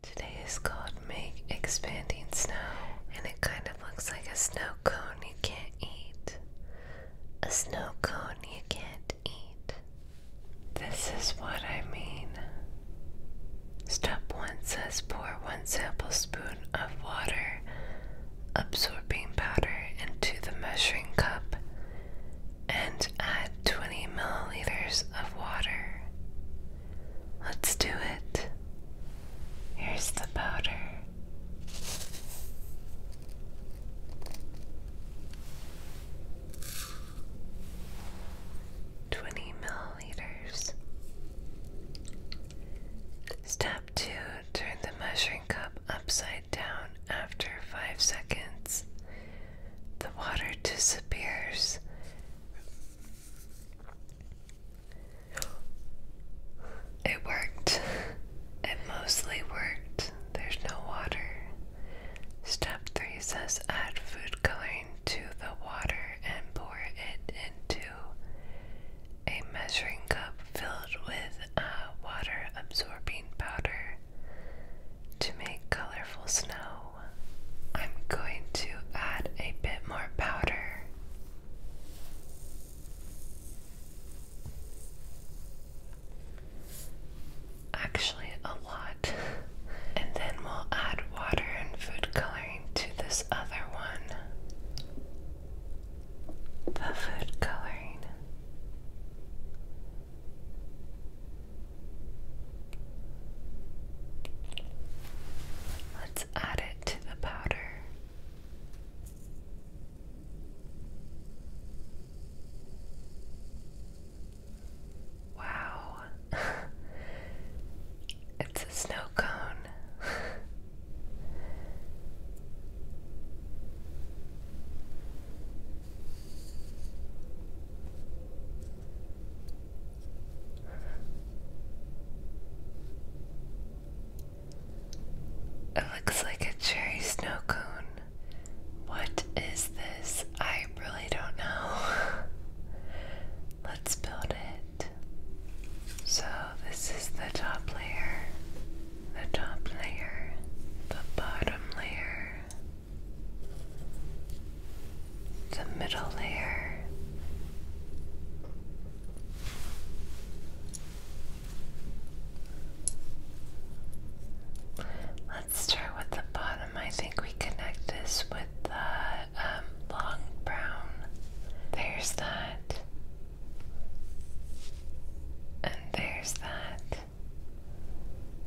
Today is called Make Expanding Snow, and it kind of looks like a snow cone you can't eat. A snow cone you can't eat. This is what I mean. Step 1 says pour 1 tablespoon of water, absorbing powder, into the measuring cup and add 20 milliliters of water. Let's do it. Here's the powder. Twenty milliliters. Step two turn the measuring cup upside down after five seconds. The water disappears it worked. It mostly worked. There's no water. Step 3 says add food coloring to the water and pour it into a measuring cup filled with uh, water absorbing powder to make colorful snow. I'm going to add a bit more powder. Actually, a lot. And then we'll add water and food coloring to this other one. The food coloring. Let's add it to the powder. Wow, it's a snow cone. It looks like a cherry snow cone. What is this? I really don't know. Let's build it. So, this is the top layer, the top layer, the bottom layer, the middle layer. Let's start with the bottom. I think we connect this with the um, long brown. There's that. And there's that.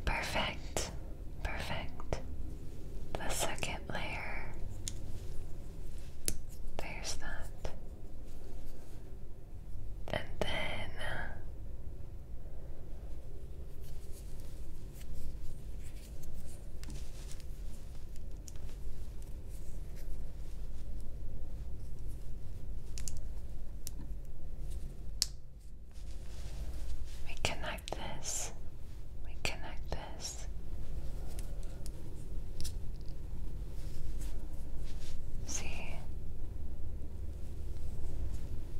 Perfect. Perfect. The second layer. There's that. And then we connect this. We connect this. See?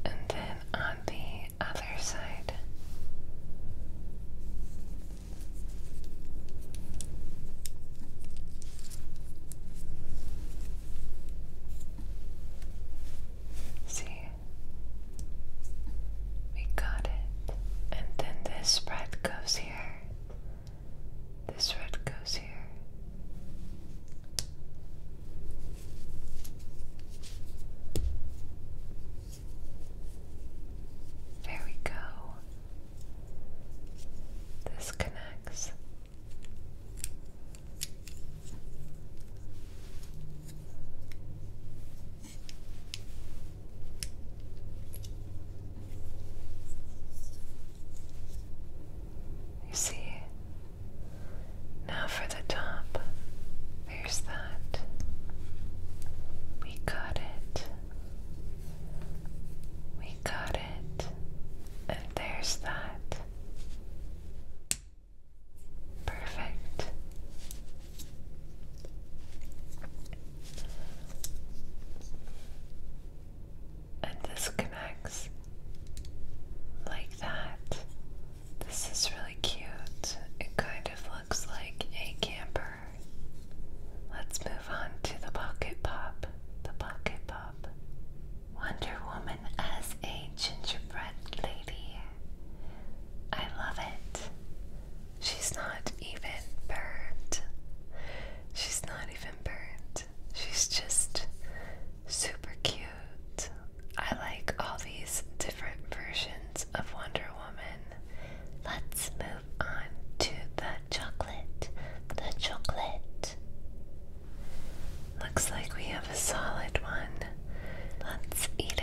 And then on the other side. See, we got it. And then this red goes here. This red goes here. There we go. This connects. You see, now for the top, there's that. We got it. We got it. And there's that. Perfect. And this connects like that. This is really cute. It kind of looks like a camper. Let's move on to the pocket pop. The pocket pop. Wonder Woman as a gingerbread lady. I love it. She's not even burned. She's not even burned. She's just super cute. I like all these different versions of Wonder Woman. Let's move on to the chocolate. The chocolate. Looks like we have a solid one. Let's eat it.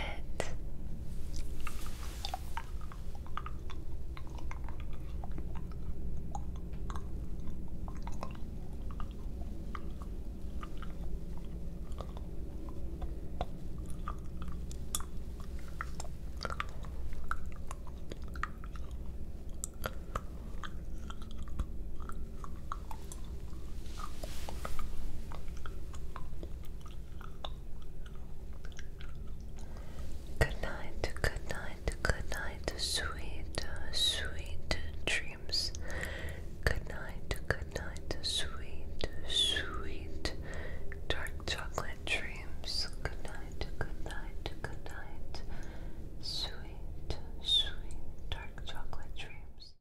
Good night, good night, good night, sweet, sweet dreams. Good night, good night, sweet, sweet dark chocolate dreams. Good night, good night, good night, sweet, sweet dark chocolate dreams.